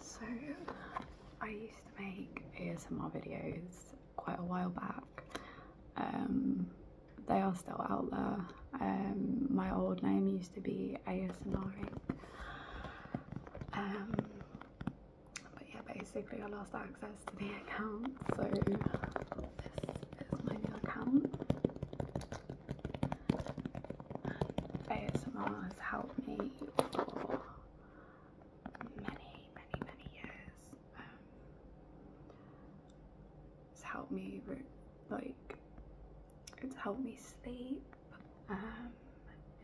So I used to make ASMR videos quite a while back. Um, they are still out there. Um, my old name used to be ASMR. Um, but yeah, basically I lost access to the account, so this is my new account. ASMR has helped me for many, many, many years it's helped me like it's helped me sleep um,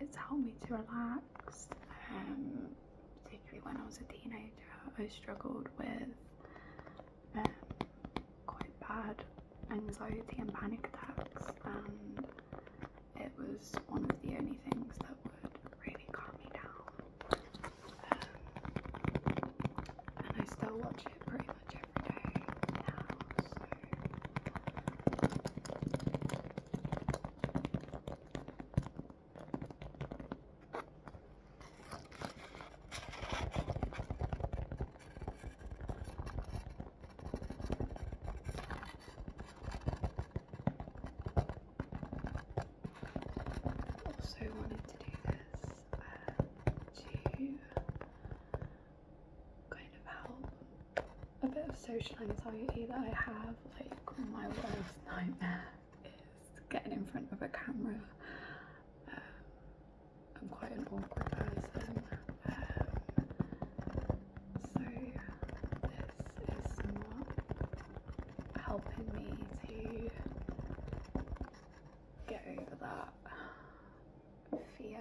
it's helped me to relax um, particularly when I was a teenager I struggled with um, quite bad anxiety and panic attacks and it was one of the only things that would really calm me down and I still watch it pretty much every day now, so also wanted to do this uh, to kind of help a bit of social anxiety that I have. Like my worst nightmare is getting in front of a camera. Um, I'm quite an awkward person. Um, so this is not helping me to get over that fear.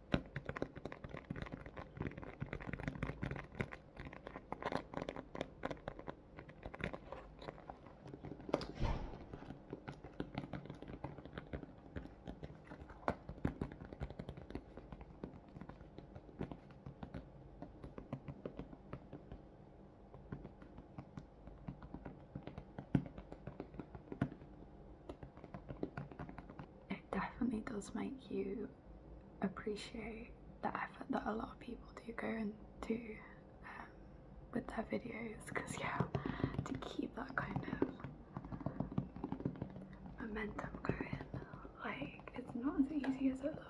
It definitely does make you appreciate the effort that a lot of people do go into um, with their videos because yeah to keep that kind of momentum going like it's not as easy as it looks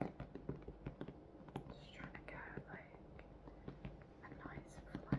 just trying to go like a nice flow.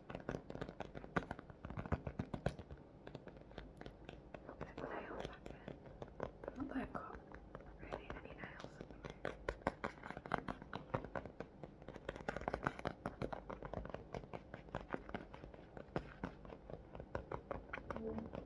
Put the nails back in. Not that i really any nails. Mm.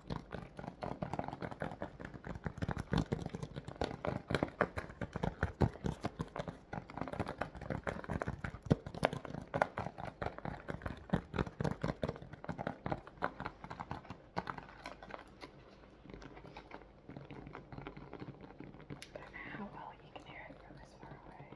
don't know how well you can hear it from this far away.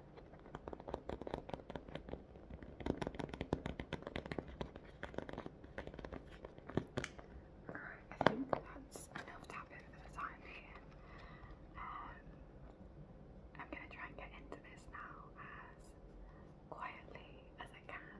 Alright, I think that's enough tapping for the time being. Um, I'm going to try and get into this now as quietly as I can.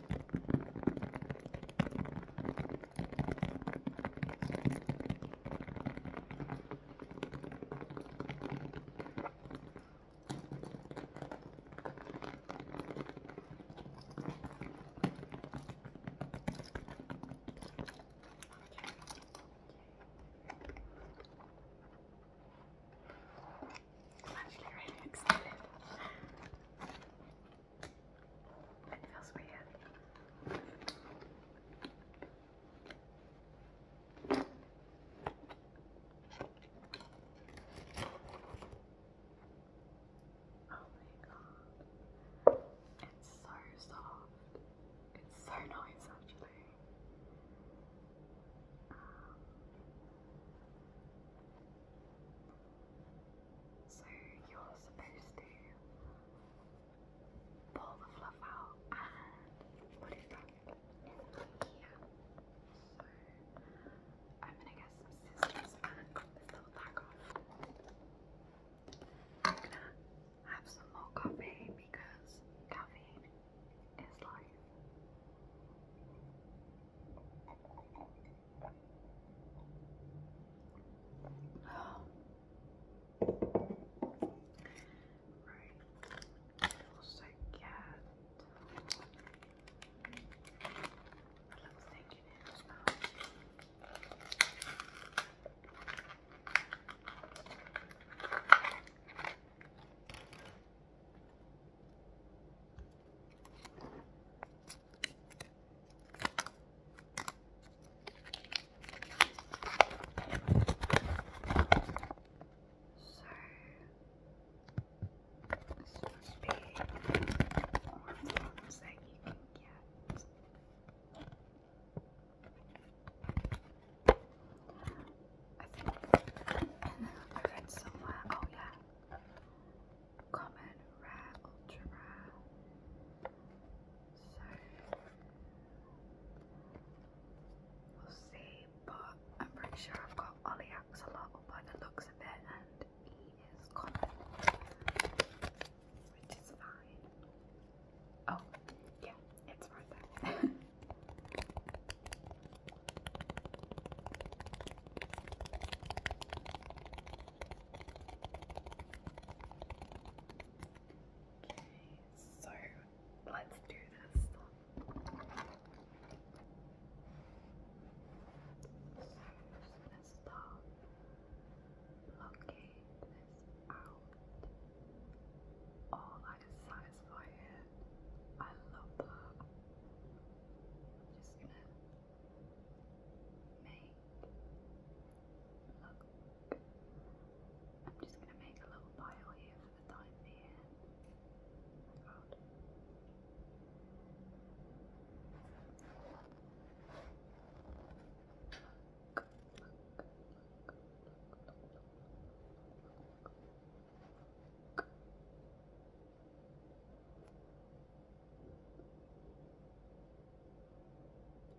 I'm actually really excited. It feels weird. Oh my god. It's so soft. It's so nice actually. Um, so you're supposed to pull the fluff out and put it back in So I'm gonna get some scissors and cut this little tag off. I'm gonna have some more coffee because caffeine is life. Right. Also get a little thing in it as well this must be the ones that you can get. I think I read somewhere, oh yeah, common, rare, ultra rare. So we'll see, but I'm pretty sure I've got Oleaxolotl by the looks of it, and he is common, which is fine. Oh, yeah, it's right there. Okay, so let's do this. So, so let's start blocking this out. Oh, that is satisfying. I love that. just gonna make look. I'm just gonna make a little pile here for the time being.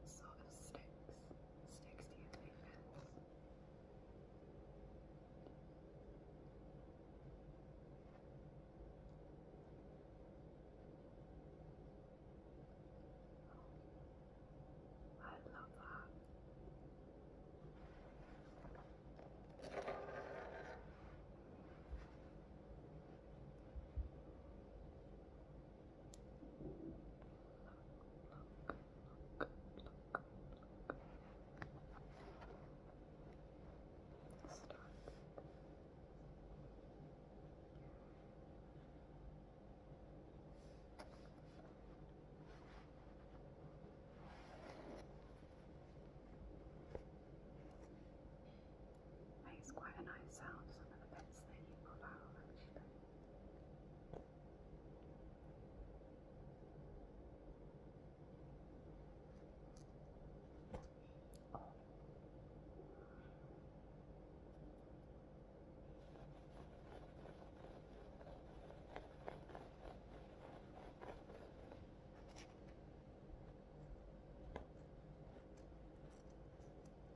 Sort sticks. Sticks to your oh, I love that look, look, look. Start. Here makes quite a nice sound, some of the bits that you pull out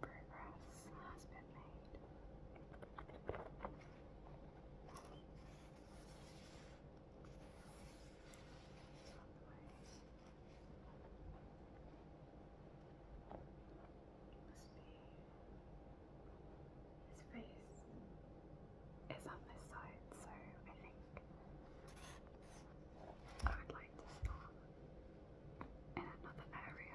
Progress has been made. his face is on this side, so I think I would find the in another area.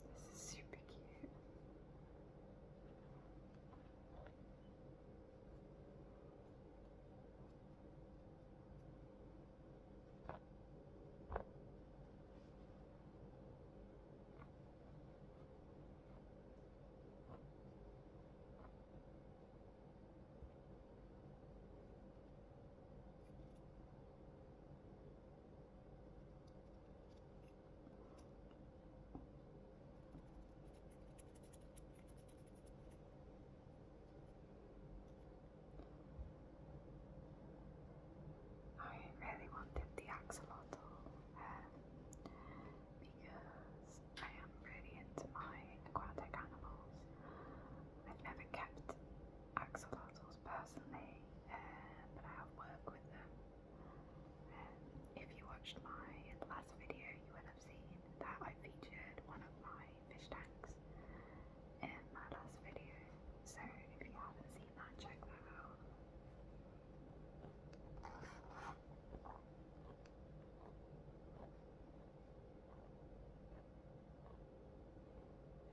This is super cute. I really wanted the axolotl um, because I am really into my aquatic animals. I've never kept axolotls personally, um, but I have worked with them. Um, if you watched my last video, you will have seen that I featured one of my fish tanks in my last video. So if you haven't seen that, check that out.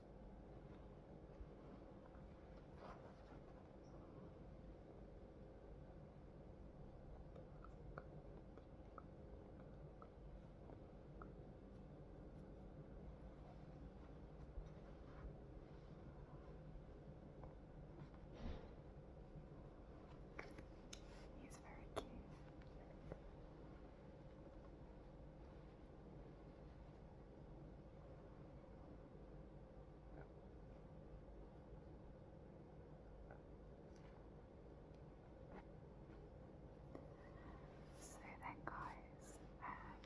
He's very cute. So then, guys, um,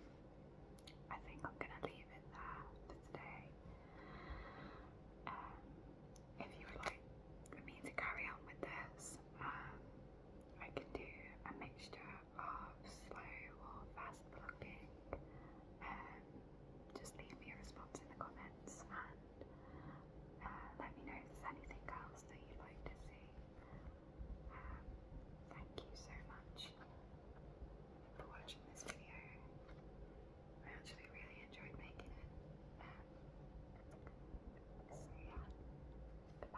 I think I'm going to leave it there for today. Um, if you would like me to carry on with this, um, I can do a mixture of slow or fast vlogging, um, just leave me a response in the comments and uh, let me know if there's anything else that you'd like to see. Um, thank you so much for watching this video. I actually really enjoyed making it. Um, so yeah, goodbye.